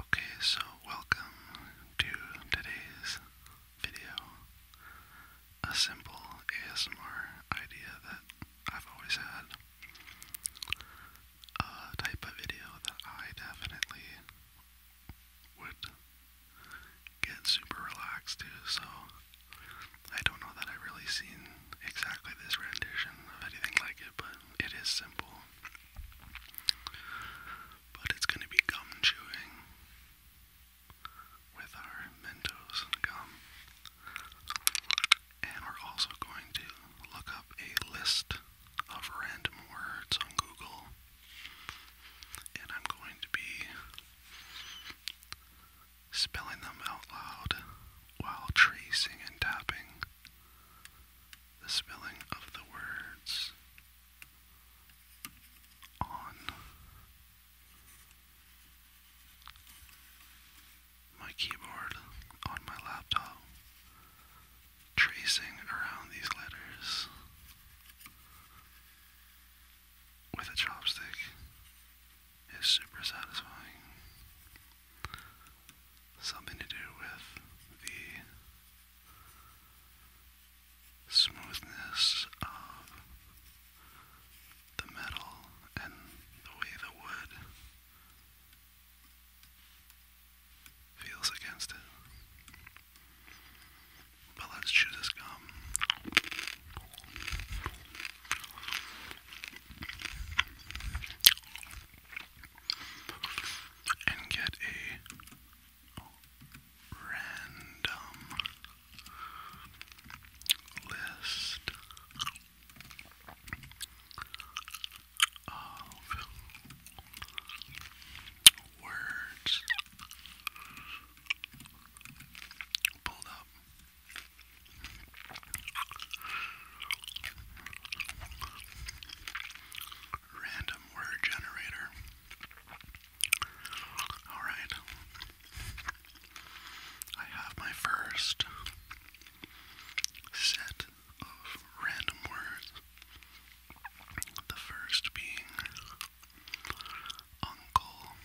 Okay, so welcome to today's video. A simple ASMR idea that I've always had. A type of video that I definitely would get super relaxed to, so I don't know that I've really seen exactly this rendition of anything like it, but it is simple but it's going to be gum chewing with our Mentos gum. And we're also going to look up a list of random words on Google. And I'm going to be spelling them out loud while tracing and tapping the spelling of the words on my keyboard on my laptop, tracing around these letters with a chopstick is super satisfying. Something to do with the smoothness of the metal and the way the wood feels against it. But let's chew this gum and get a random list of words pulled up random word generator. Alright. I have my first set of random words. The first being uncle,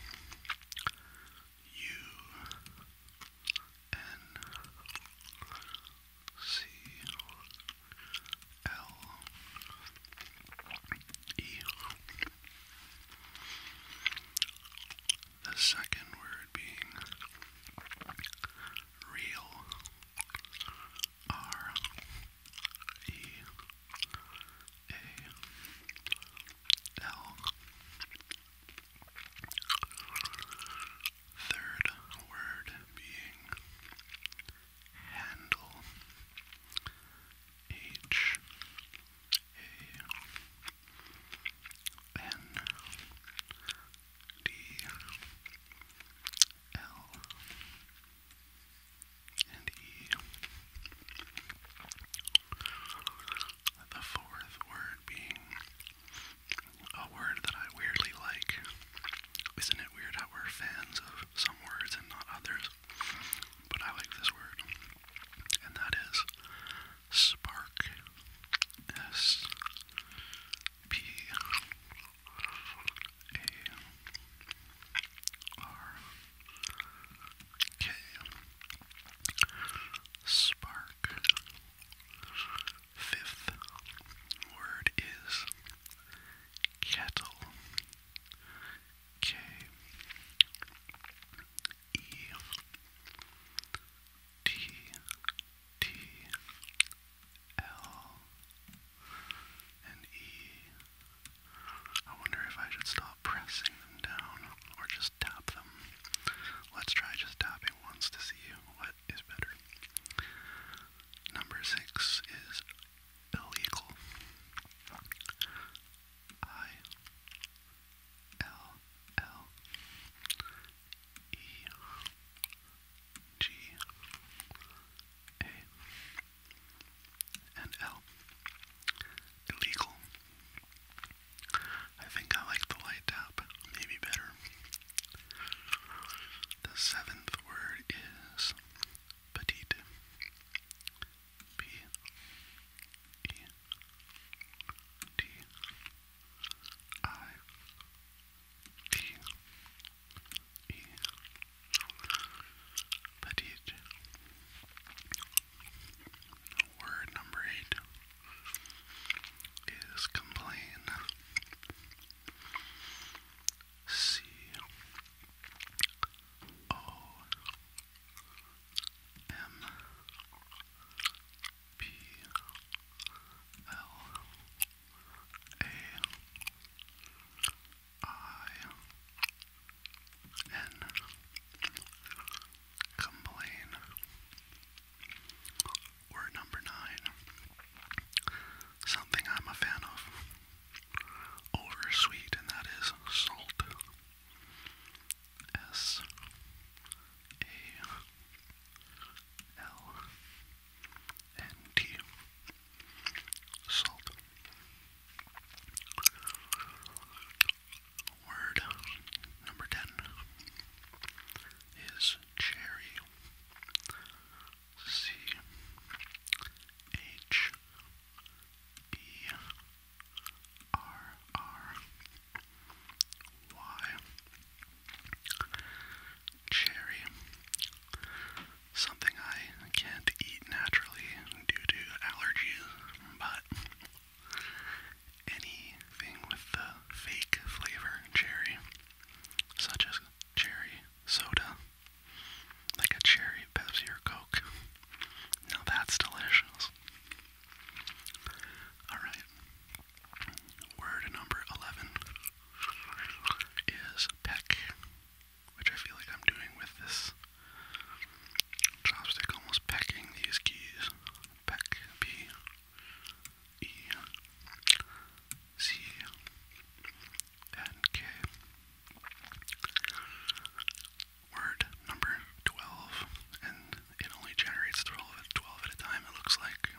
you, N C L E. The second word being real. R E A L. Third word being handle. H A N D L and E. The fourth word being a word that I weirdly like. Isn't it weird how we're fans of some words and not others? But I like this word, and that is spark. S P A R K. Spark. Fifth word is kettle. K E T T L and E. I wonder if I should stop pressing them down or just tap them. Let's try just tapping once to see what that is better. Number six is illegal. I L L E G A Illegal. I think I like the light tap maybe better. The seventh word is petite. P E T I T E Petite. Word number eight is complain. C O M P L A I N complain or number nine. Something I'm a fan of. Oversweet, and that is salt. S A L N T. Salt. Word number 10 is cherry. C H B R R Y Cherry something I can't eat naturally due to allergies, but anything with the fake flavor cherry such as cherry soda, like a cherry Pepsi or Coke. Now that's delicious. Alright, word number 11 is peck, which I feel like I'm doing with this chopstick, almost pecking these keys. Peck, P. E C N K. Word number 12, and it only generates 12, 12 at a time, it looks like.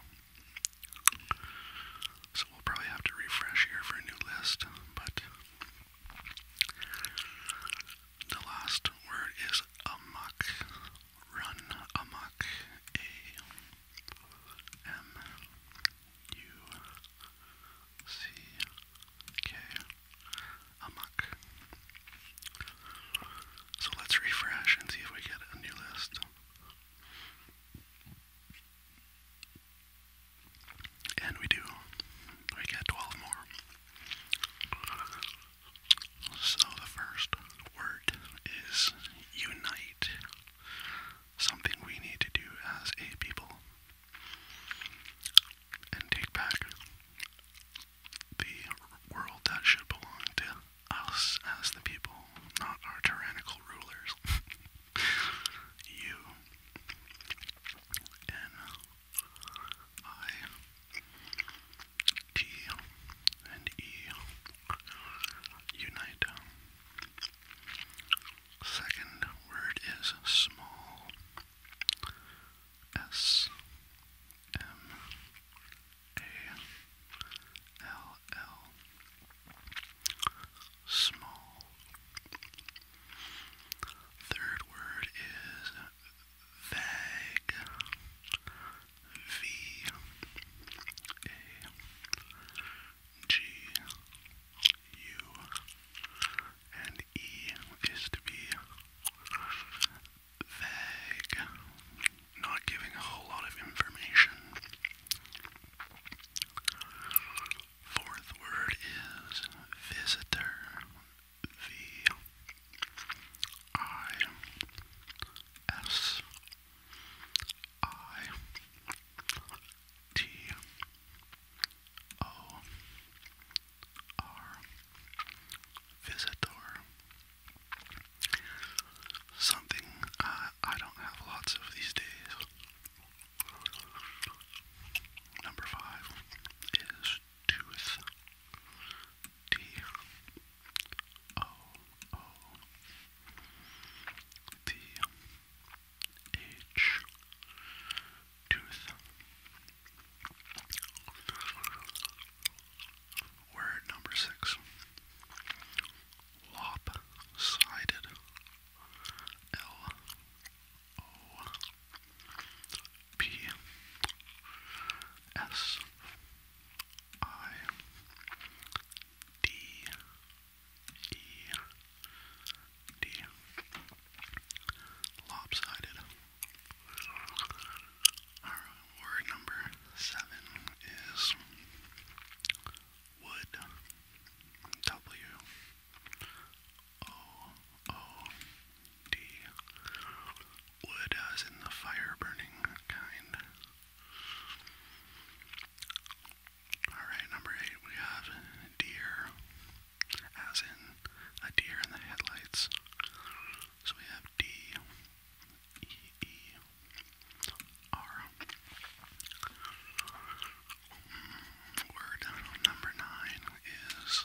So we'll probably have to refresh here for a new list, but the last word is amok run amok A M U C K amok. So let's refresh and see if we get a new list. And we do. We get 12 more. So the first word is unite. Something we need to do as a people and take back the world that should belong to us as the people, not our tyrannical rulers. you T and E unite. Second word is small. S M A L L. Small. Third word is vague. V A G U is to be vague, not giving a whole lot of information. Fourth word is visitor. V I S I T O R visitor something uh, I don't have lots of these days. Number five is tooth. T O O T H tooth. Word number six. Lopsided. L O P S I D E D lopsided. Our word number seven is wood. W O O D wood as in the fire burning kind. Alright, number eight, we have deer, as in a deer in the headlights. So we have D, E, E, R. Word number nine is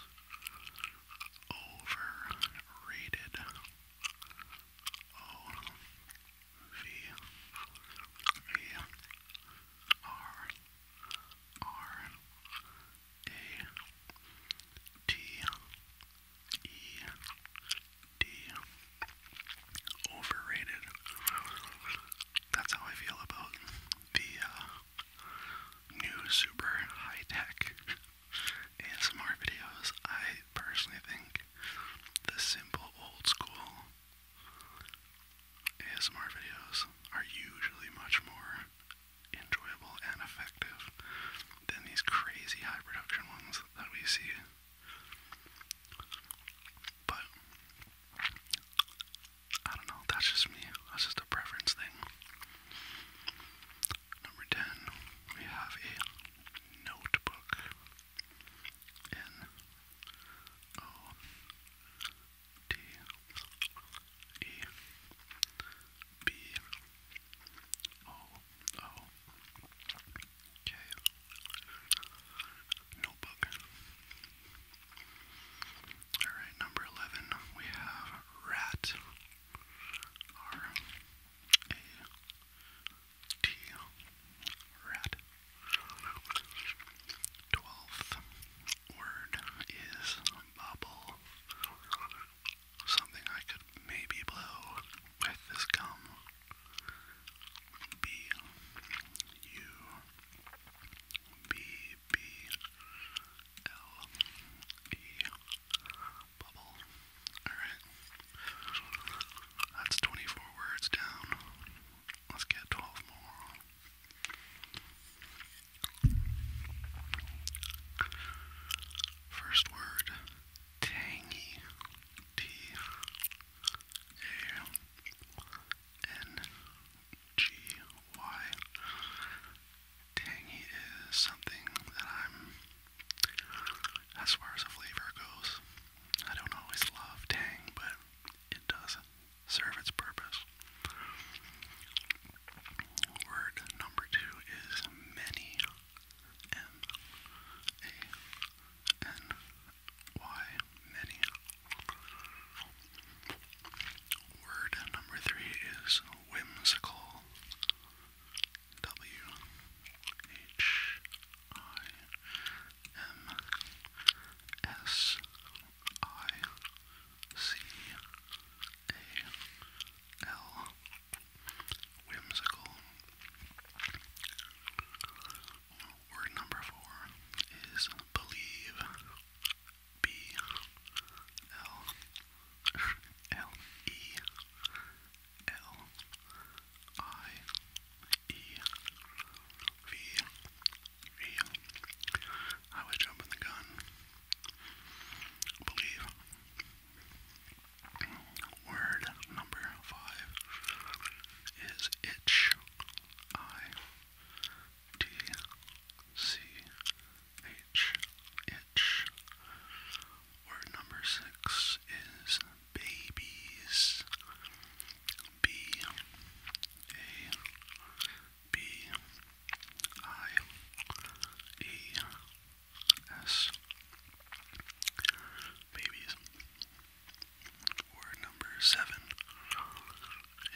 overrated. O V E R R A T E D overrated. That's how I feel about the uh, new super high tech ASMR videos, I personally think the simple old school ASMR videos are usually much more enjoyable and effective than these crazy high production ones that we see. But I don't know, that's just me. That's just a preference thing. Number 10, we have a notebook. N O D E B O O K Notebook. Alright, number 11, we have rat. R A T. Rat. Twelfth word is bubble. Something I could maybe blow with this gum. B U B B L E bubble. Alright. That's 24 words down. Let's get 12 more. First word tangy. T A N G Y. Tangy is something that I'm as far as flavor goes, I don't always love tang, but it does serve its purpose. Word number two is many. M A N Y many. Word number three is whimsical. W H I M S I C A L Whimsical. Word number four is believe. B L L E L I E V E. I was jumping the gun. Believe. Word number five is itch. I T C H, itch. Word number six is babies. B, A, B, I, E, S. Babies. Word number seven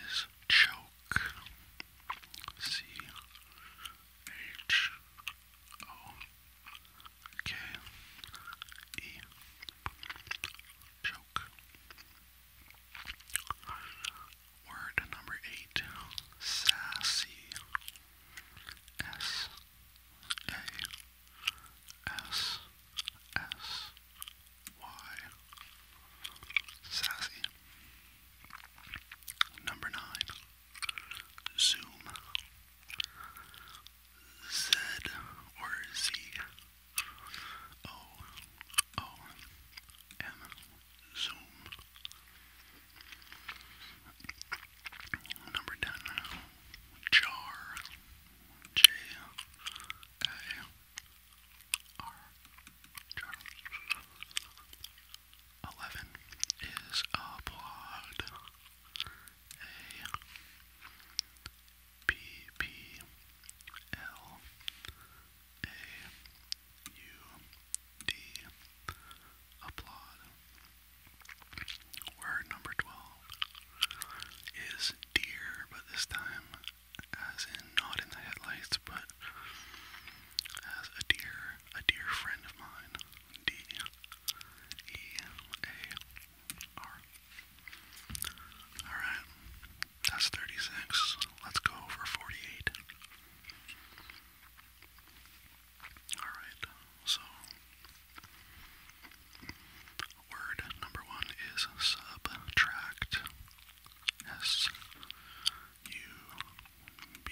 is choke. C H O K E Joke. Word number eight Sassy S A S S Y Sassy. Number nine Zoom, Z or Z, O, O, M, Zoom. Number 10, Jar, J, A, R, jar 11 is applaud. A P P L A U D applaud. Word number 12 is deer, but this time as in not in the headlights, but as a dear, a dear friend of mine D E A R. Alright, that's 36. Let's go for 48. Alright, so word number one is subtract. S U B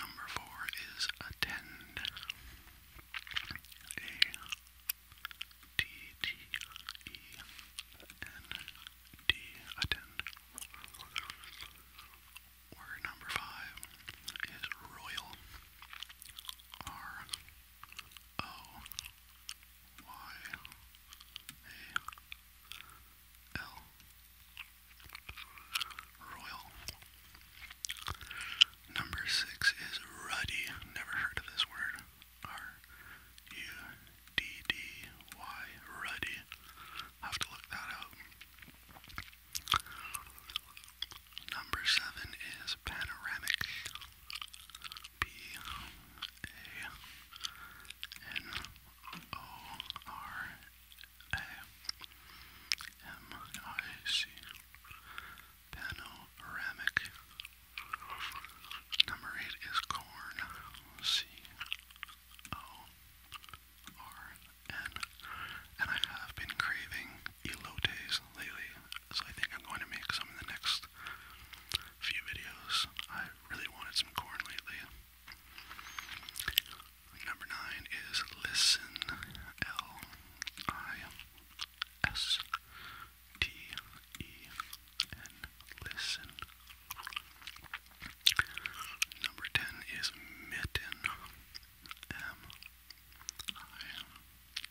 Number four is attend. A T T E N D attend. Word number five is royal. R O Y a L Royal. Number six is ruddy. Never heard of this word. R U D D Y ruddy. ruddy have to look that up. Number seven is panoramic. B A N O R A M I C Panoramic Number eight is corn C O R N and I have been craving elotes lately, so I think I'm going to make some in the next few videos. I really wanted some corn lately. Number nine is listen. L I S T E N. Listen. Number ten is mitten. M I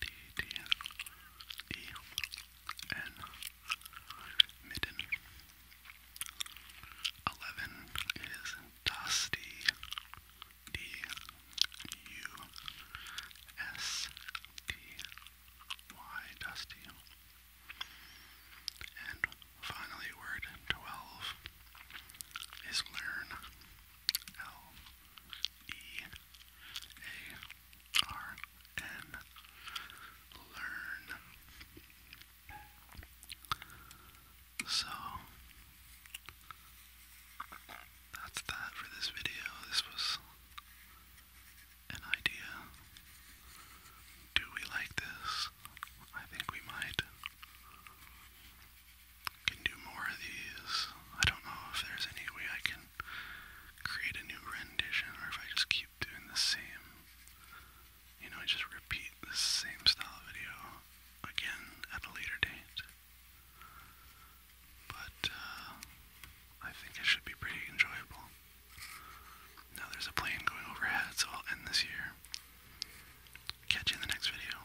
T T E N. Midden. Eleven is Dusty. D U S T Y Dusty. And finally, word 12 is learn. L E a R N learn. So that's that for this video. This was an idea. Do we like this? I think we might. Can do more of these. I don't know if there's any way I can create a new rendition, or if I just keep doing the same, you know, I just repeat the same style video again at a later date. But uh, I think it should be pretty enjoyable. Now there's a plane going overhead, so I'll end this here. Catch you in the next video.